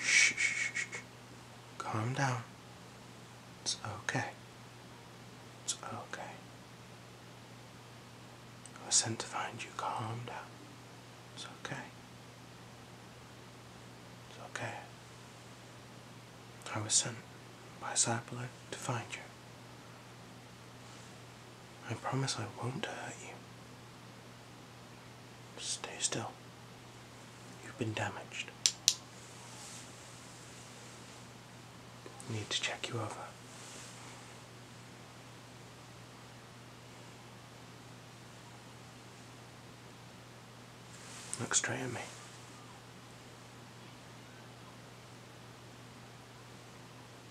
Shh, shh, shh, Calm down. It's okay. It's okay. I was sent to find you. Calm down. It's okay. It's okay. I was sent by Cyberlight to find you. I promise I won't hurt you. Stay still. You've been damaged. Need to check you over. Look straight at me.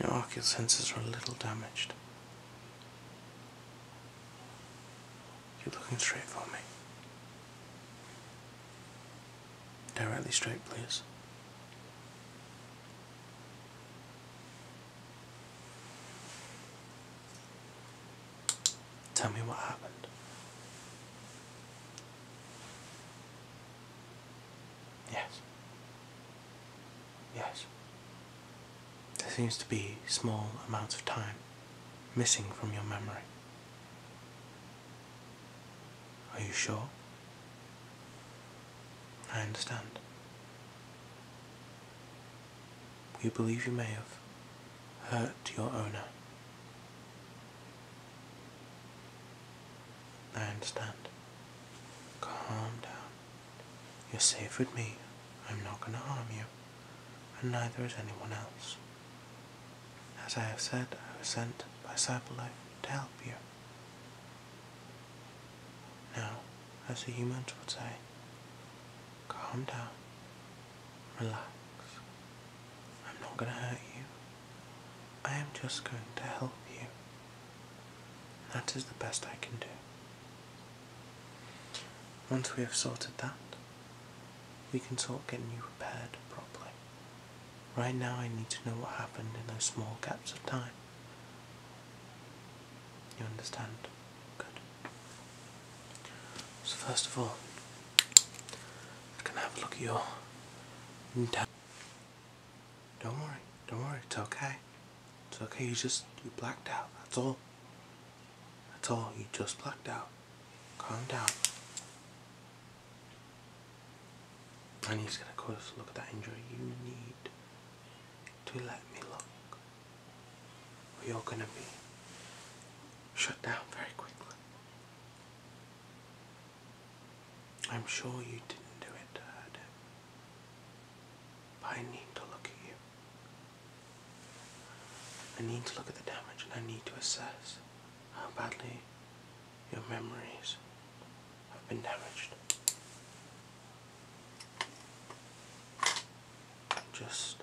Your ocular sensors are a little damaged. You're looking straight for me. Directly straight, please. Tell me what happened. Yes. Yes. There seems to be small amounts of time missing from your memory. Are you sure? I understand. You believe you may have hurt your owner. I understand. Calm down. You're safe with me. I'm not going to harm you, and neither is anyone else. As I have said, I was sent by Cyberlife to help you. Now, as the humans would say, calm down, relax. I'm not going to hurt you. I am just going to help you that is the best I can do. Once we have sorted that, we can sort getting you repaired properly. Right now, I need to know what happened in those small gaps of time. You understand? Good. So, first of all, I am going to have a look at your. Don't worry. Don't worry. It's okay. It's okay. You just, you blacked out. That's all. That's all. You just blacked out. Calm down. I going to get close look at the injury. You need to let me look. Or you're going to be shut down very quickly. I'm sure you didn't do it to but I need to look at you. I need to look at the damage and I need to assess how badly your memories have been damaged. I'm Just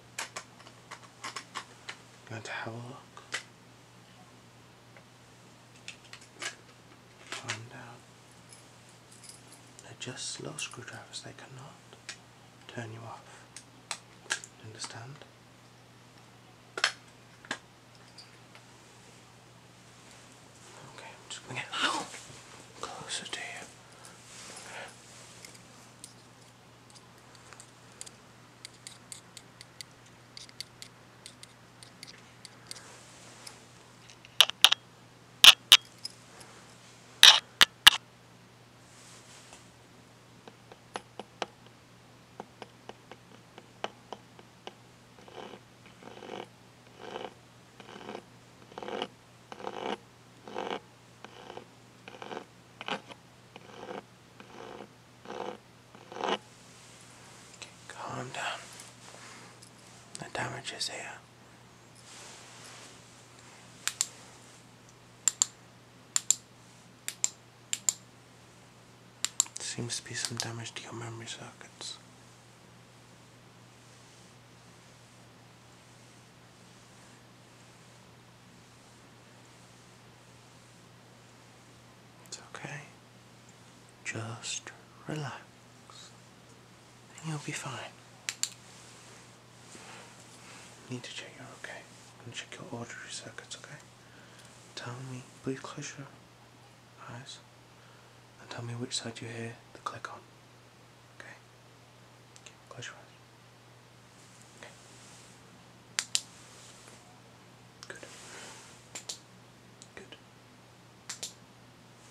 going to have a look Find out. They're just slow screwdrivers, they cannot turn you off. Understand? Okay, I'm just closer to you. Okay. Calm down the damage is here. Seems to be some damage to your memory circuits. It's okay. Just relax and you'll be fine. I need to check you're okay. i gonna check your auditory circuits, okay? Tell me, please close your eyes and tell me which side you hear the click on. Okay? okay close your eyes. Okay. Good. Good.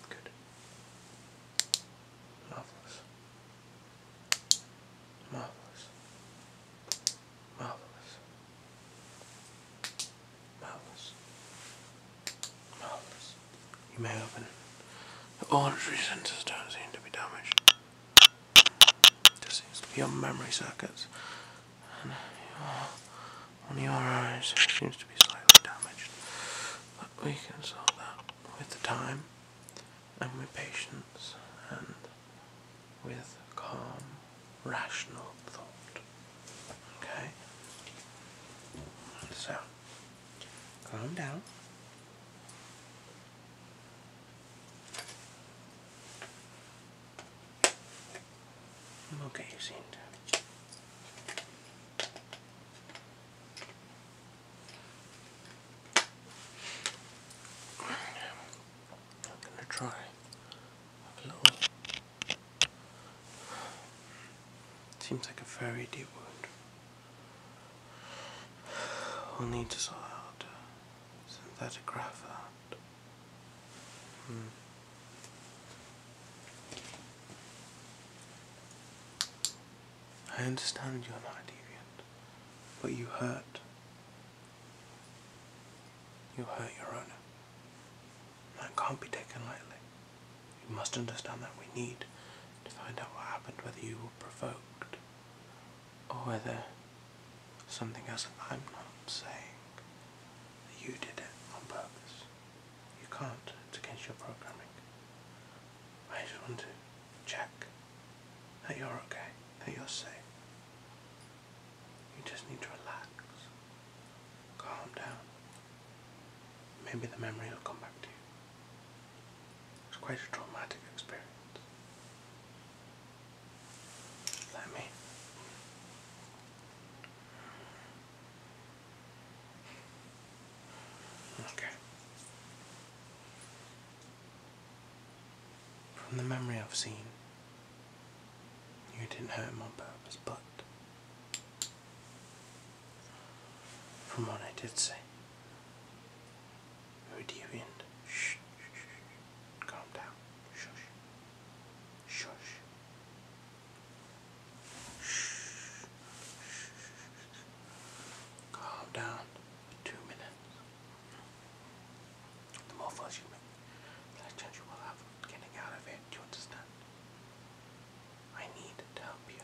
Good. Marvelous. Marvelous. Marvelous. Marvelous. Marvelous. You may open. The auditory sensors don't seem to be damaged. It just seems to be your memory circuits on your eyes. seems to be slightly damaged, but we can solve that with the time and with patience and with calm, rational thought. Okay? So, calm down. okay, you seem to. I'm gonna try Seems like a very deep wound. I'll need to sort out synthetic graphite. Mm. I understand you're not deviant, but you hurt. You hurt your owner. That can't be taken lightly. You must understand that we need to find out what happened, whether you were provoked, or whether something else I'm not saying, that you did it on purpose. You can't. It's against your programming. I just want to check that you're okay, that you're safe. You just need to relax, calm down. Maybe the memory will come back to you. It's quite a traumatic experience. Let me from the memory I've seen, you didn't hurt him on purpose, but from what I did say, who do you end? Shh, shh, shh, calm down. Shush. Shush. Shh. Calm down for two minutes. The more fuss you make, the less you will have getting out of it. Do you understand? I need to help you.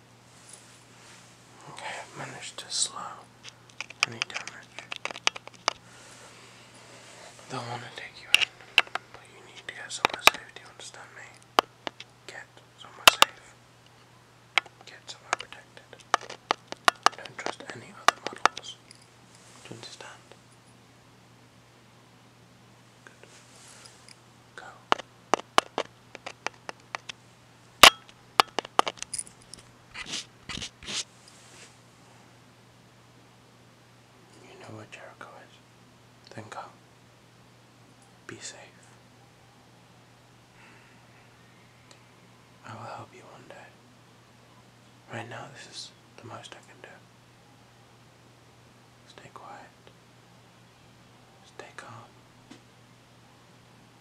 Okay, I've managed to slow any damage. They'll want to take you in, but you need to get somewhere safe, do you understand me? Get somewhere safe. Get somewhere protected. Don't trust any other models. Do you understand? Good. Go. You know what Jericho is. Then come. Be safe. I will help you one day. Right now, this is the most I can do. Stay quiet. Stay calm.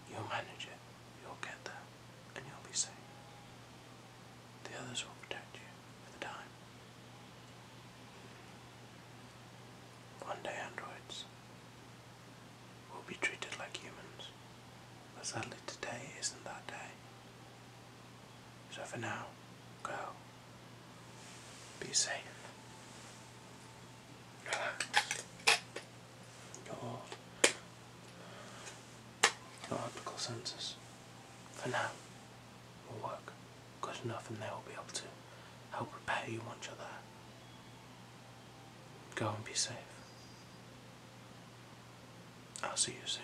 You'll manage it. You'll get there. And you'll be safe. The others will protect you for time. One day androids will be treated like humans. But sadly today isn't that day. So for now, go. Be safe. Your, optical sensors, for now, will work good enough and they will be able to help repair you once you're there. Go and be safe. I'll see you soon.